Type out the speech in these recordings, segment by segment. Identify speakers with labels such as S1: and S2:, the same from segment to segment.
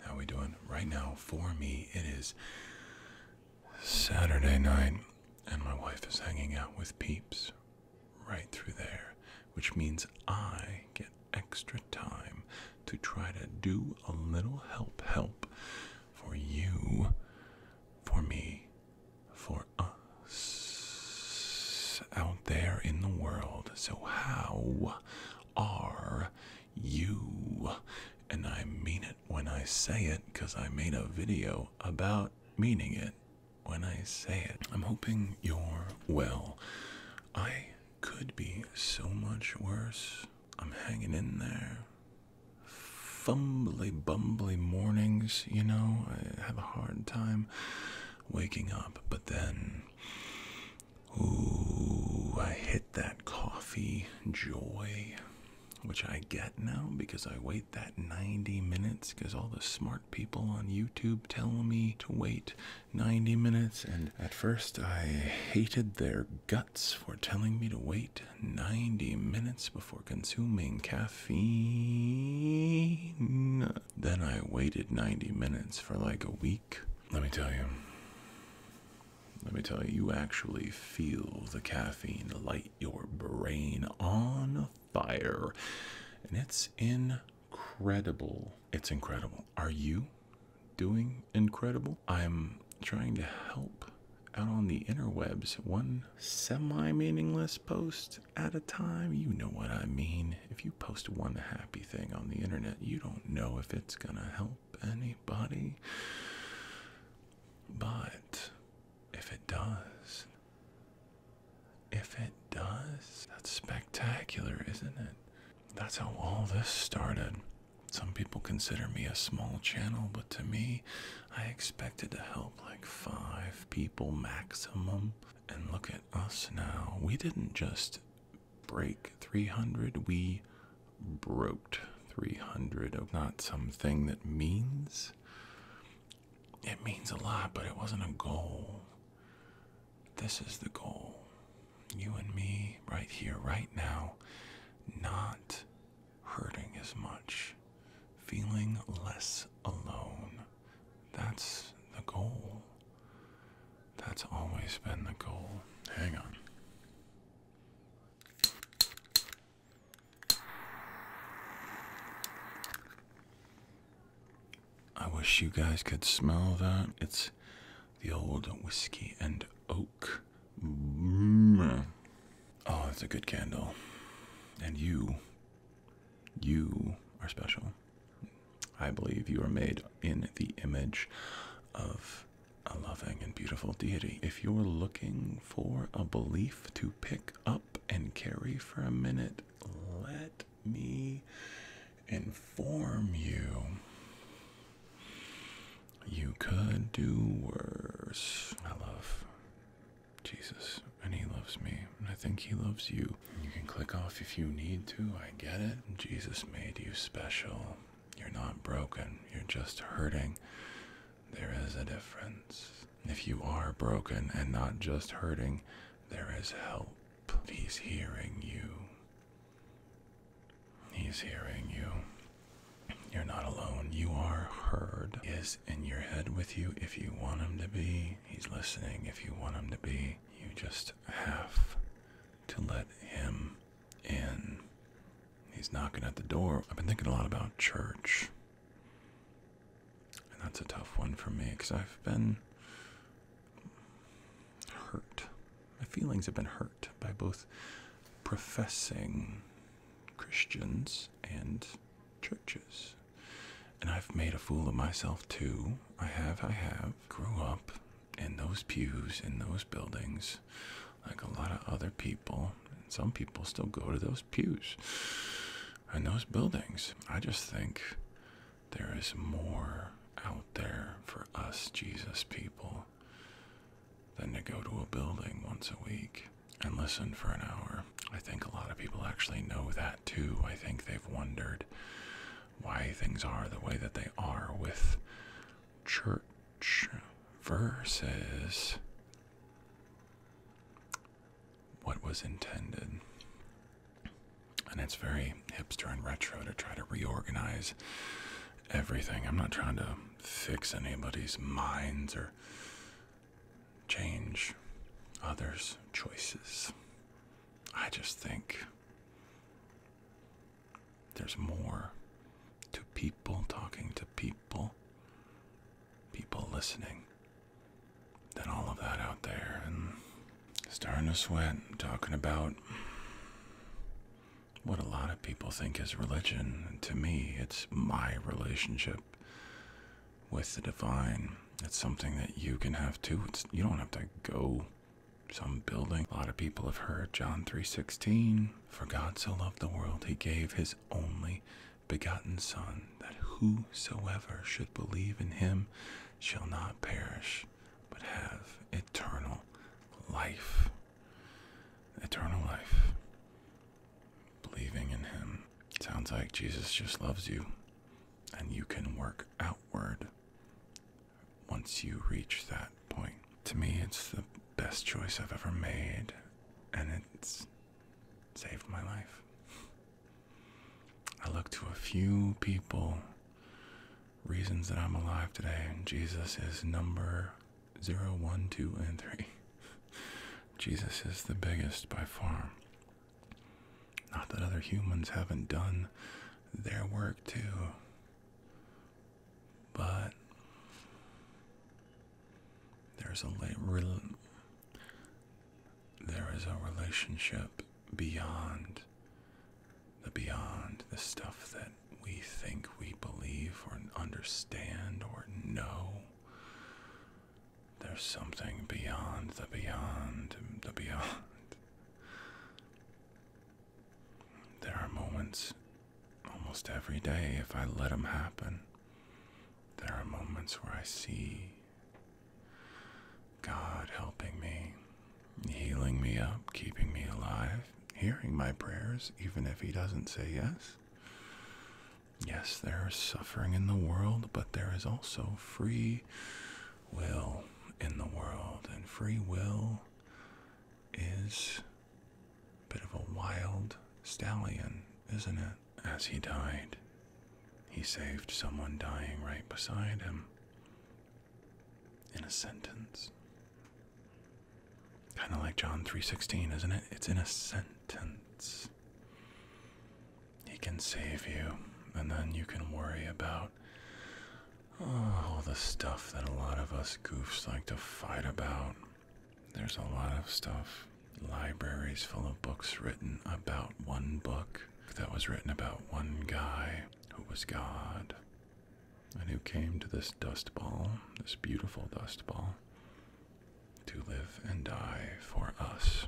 S1: How we doing? Right now, for me, it is Saturday night, and my wife is hanging out with peeps right through there, which means I get extra time to try to do a little help help for you, for me, for us out there in the world. So, how are you. And I mean it when I say it because I made a video about meaning it when I say it. I'm hoping you're well. I could be so much worse. I'm hanging in there. Fumbly bumbly mornings, you know, I have a hard time waking up, but then Ooh, I hit that coffee joy, which I get now because I wait that 90 minutes because all the smart people on YouTube tell me to wait 90 minutes. And at first, I hated their guts for telling me to wait 90 minutes before consuming caffeine. Then I waited 90 minutes for like a week. Let me tell you. Let me tell you, you actually feel the caffeine light your brain on fire. And it's incredible. It's incredible. Are you doing incredible? I'm trying to help out on the interwebs, one semi meaningless post at a time. You know what I mean. If you post one happy thing on the internet, you don't know if it's going to help anybody. But if it does, if it does, that's spectacular, isn't it? That's how all this started. Some people consider me a small channel, but to me, I expected to help like five people maximum. And look at us now. We didn't just break 300. We broke 300. Not something that means. It means a lot, but it wasn't a goal. This is the goal. You and me, right here, right now, not hurting as much, feeling less alone. That's the goal. That's always been the goal. Hang on. I wish you guys could smell that. It's the old whiskey and oak. Mm. Oh, that's a good candle. And you, you are special. I believe you are made in the image of a loving and beautiful deity. If you're looking for a belief to pick up and carry for a minute, let me inform you. You could do worse. I love Jesus, and He loves me, and I think He loves you. You can click off if you need to, I get it. Jesus made you special. You're not broken, you're just hurting. There is a difference. If you are broken and not just hurting, there is help. He's hearing you. He's hearing you. You're not alone. You are heard. He is in your head with you if you want him to be. He's listening if you want him to be. You just have to let him and he's knocking at the door. I've been thinking a lot about church. And that's a tough one for me because I've been hurt. My feelings have been hurt by both professing Christians and churches. And I've made a fool of myself too. I have, I have. Grew up in those pews, in those buildings, like a lot of other people. some people still go to those pews and those buildings. I just think there is more out there for us Jesus people than to go to a building once a week and listen for an hour. I think a lot of people actually know that too. I think they've wondered why things are the way that they are with church versus what was intended. And it's very hipster and retro to try to reorganize everything. I'm not trying to fix anybody's minds or change others' choices. I just think there's more to people talking to people, people listening, than all of that out there. And starting to sweat, talking about what a lot of people think is religion. to me, it's my relationship with the divine. It's something that you can have too. you don't have to go some building. A lot of people have heard John 3:16, for God so loved the world he gave his only begotten son that whosoever should believe in him shall not perish but have eternal life. Eternal life. Believing in him sounds like Jesus just loves you and you can work outward once you reach that point. To me, it's the best choice I've ever made, and it's saved my life. I look to a few people, reasons that I'm alive today, Jesus is number zero, one, two, and 3. Jesus is the biggest by far. Not that other humans haven't done their work too but there's a there is a relationship beyond the beyond the stuff that we think we believe or understand or know. There's something beyond the beyond the beyond. There are moments almost every day, if I let them happen, there are moments where I see God helping me, healing me up, keeping me alive, hearing my prayers, even if He doesn't say yes. Yes, there is suffering in the world, but there is also free will in the world, and free will is Bit of a wild stallion, isn't it? As he died, he saved someone dying right beside him in a sentence. Kind of like John 3:16, isn't it? It's in a sentence. He can save you, and then you can worry about Oh, all the stuff that a lot of us goofs like to fight about. There's a lot of stuff. Libraries full of books written about one book that was written about one guy who was God and who came to this dust ball, this beautiful dust ball, to live and die for us.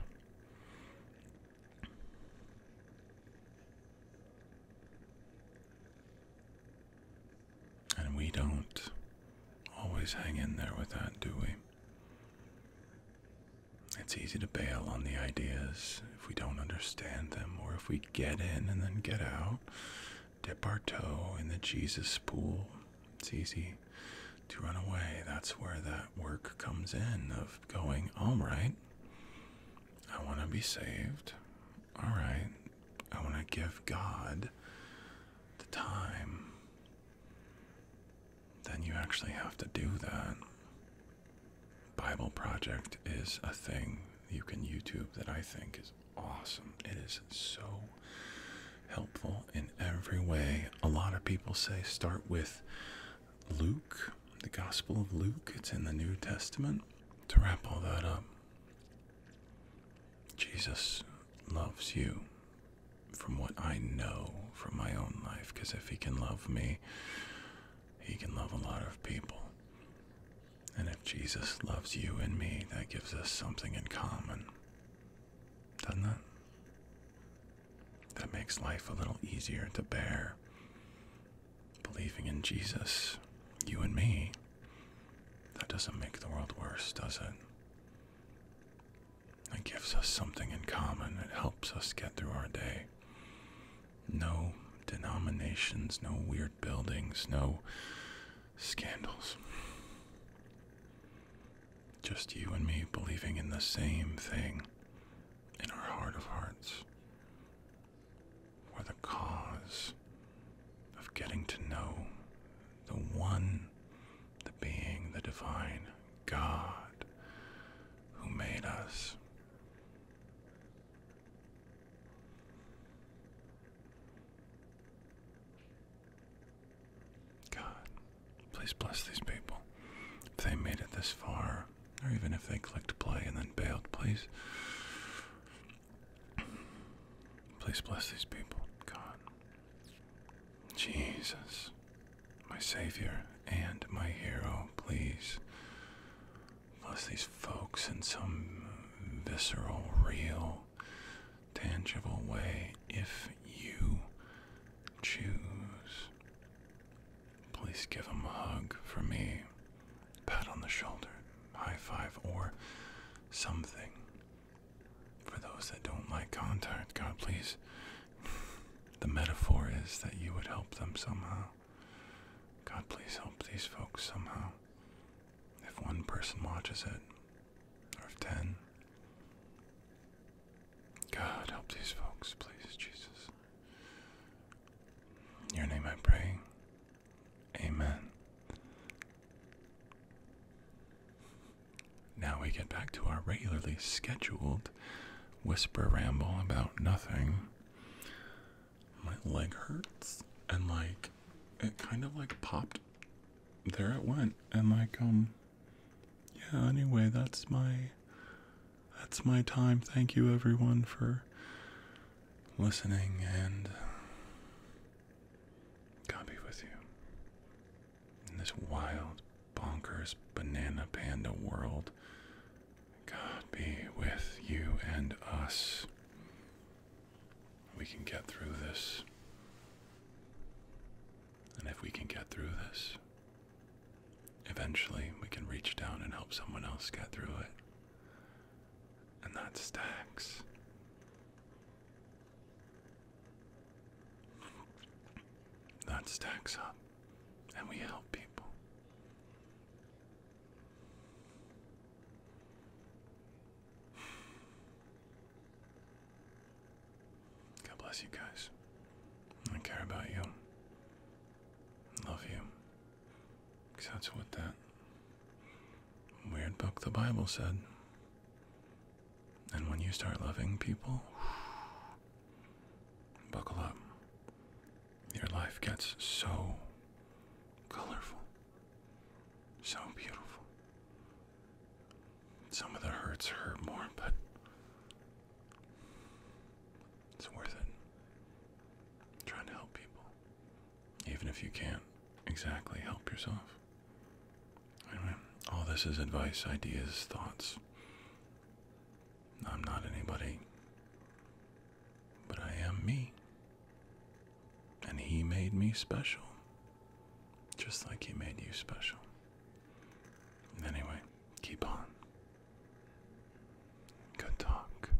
S1: And we don't always hang in there with that, do we? It's easy to bail on the ideas if we don't understand them or if we get in and then get out, dip our toe in the Jesus pool. It's easy to run away. That's where that work comes in of going, all right, I want to be saved. All right, I want to give God the time, then you actually have to do that. Bible Project is a thing you can YouTube that I think is awesome. It is so helpful in every way. A lot of people say start with Luke, the Gospel of Luke. It's in the New Testament. To wrap all that up, Jesus loves you from what I know from my own life, because if he can love me, he can love a lot of people. And if Jesus loves you and me, that gives us something in common. Doesn't it? That makes life a little easier to bear. Believing in Jesus, you and me, that doesn't make the world worse, does it? It gives us something in common. It helps us get through our day. No denominations, no weird buildings, no scandals. Just you and me believing in the same thing in our heart of hearts were the cause of getting to know the one, the being, the divine God who made us. God, please bless these people. If they made it this far, or even if they clicked play and then bailed, please Please bless these people, God. Jesus, my Savior and my hero, please bless these folks in some visceral, real, tangible way if you choose. Please give them a hug for me, pat on the shoulder high five or something. For those that don't like contact, God, please. The metaphor is that you would help them somehow. God, please help these folks somehow. If one person watches it, or if ten, God, help these folks, please, Jesus. In your name I pray. Amen. Now we get back to our regularly scheduled whisper ramble about nothing. My leg hurts and like it kind of like popped. There it went and like um yeah, anyway, that's my that's my time. Thank you everyone for listening and God be with you. In this wild, bonkers, banana panda world, God be with you and us. We can get through this. And if we can get through this, eventually we can reach down and help someone else get through it. And that stacks. That stacks up, and we help people. God bless you guys. I care about you. Love you. Because that's what that Weird book the Bible said. And when you start loving people, buckle up. Your life gets so colorful, so beautiful. Some of the hurts hurt more, but it's worth it. trying to help people even if you can't exactly help yourself. Anyway, all this is advice, ideas, thoughts. I'm not anybody, but I am me. And he made me special, just like he made you special. Anyway, keep on. Good talk.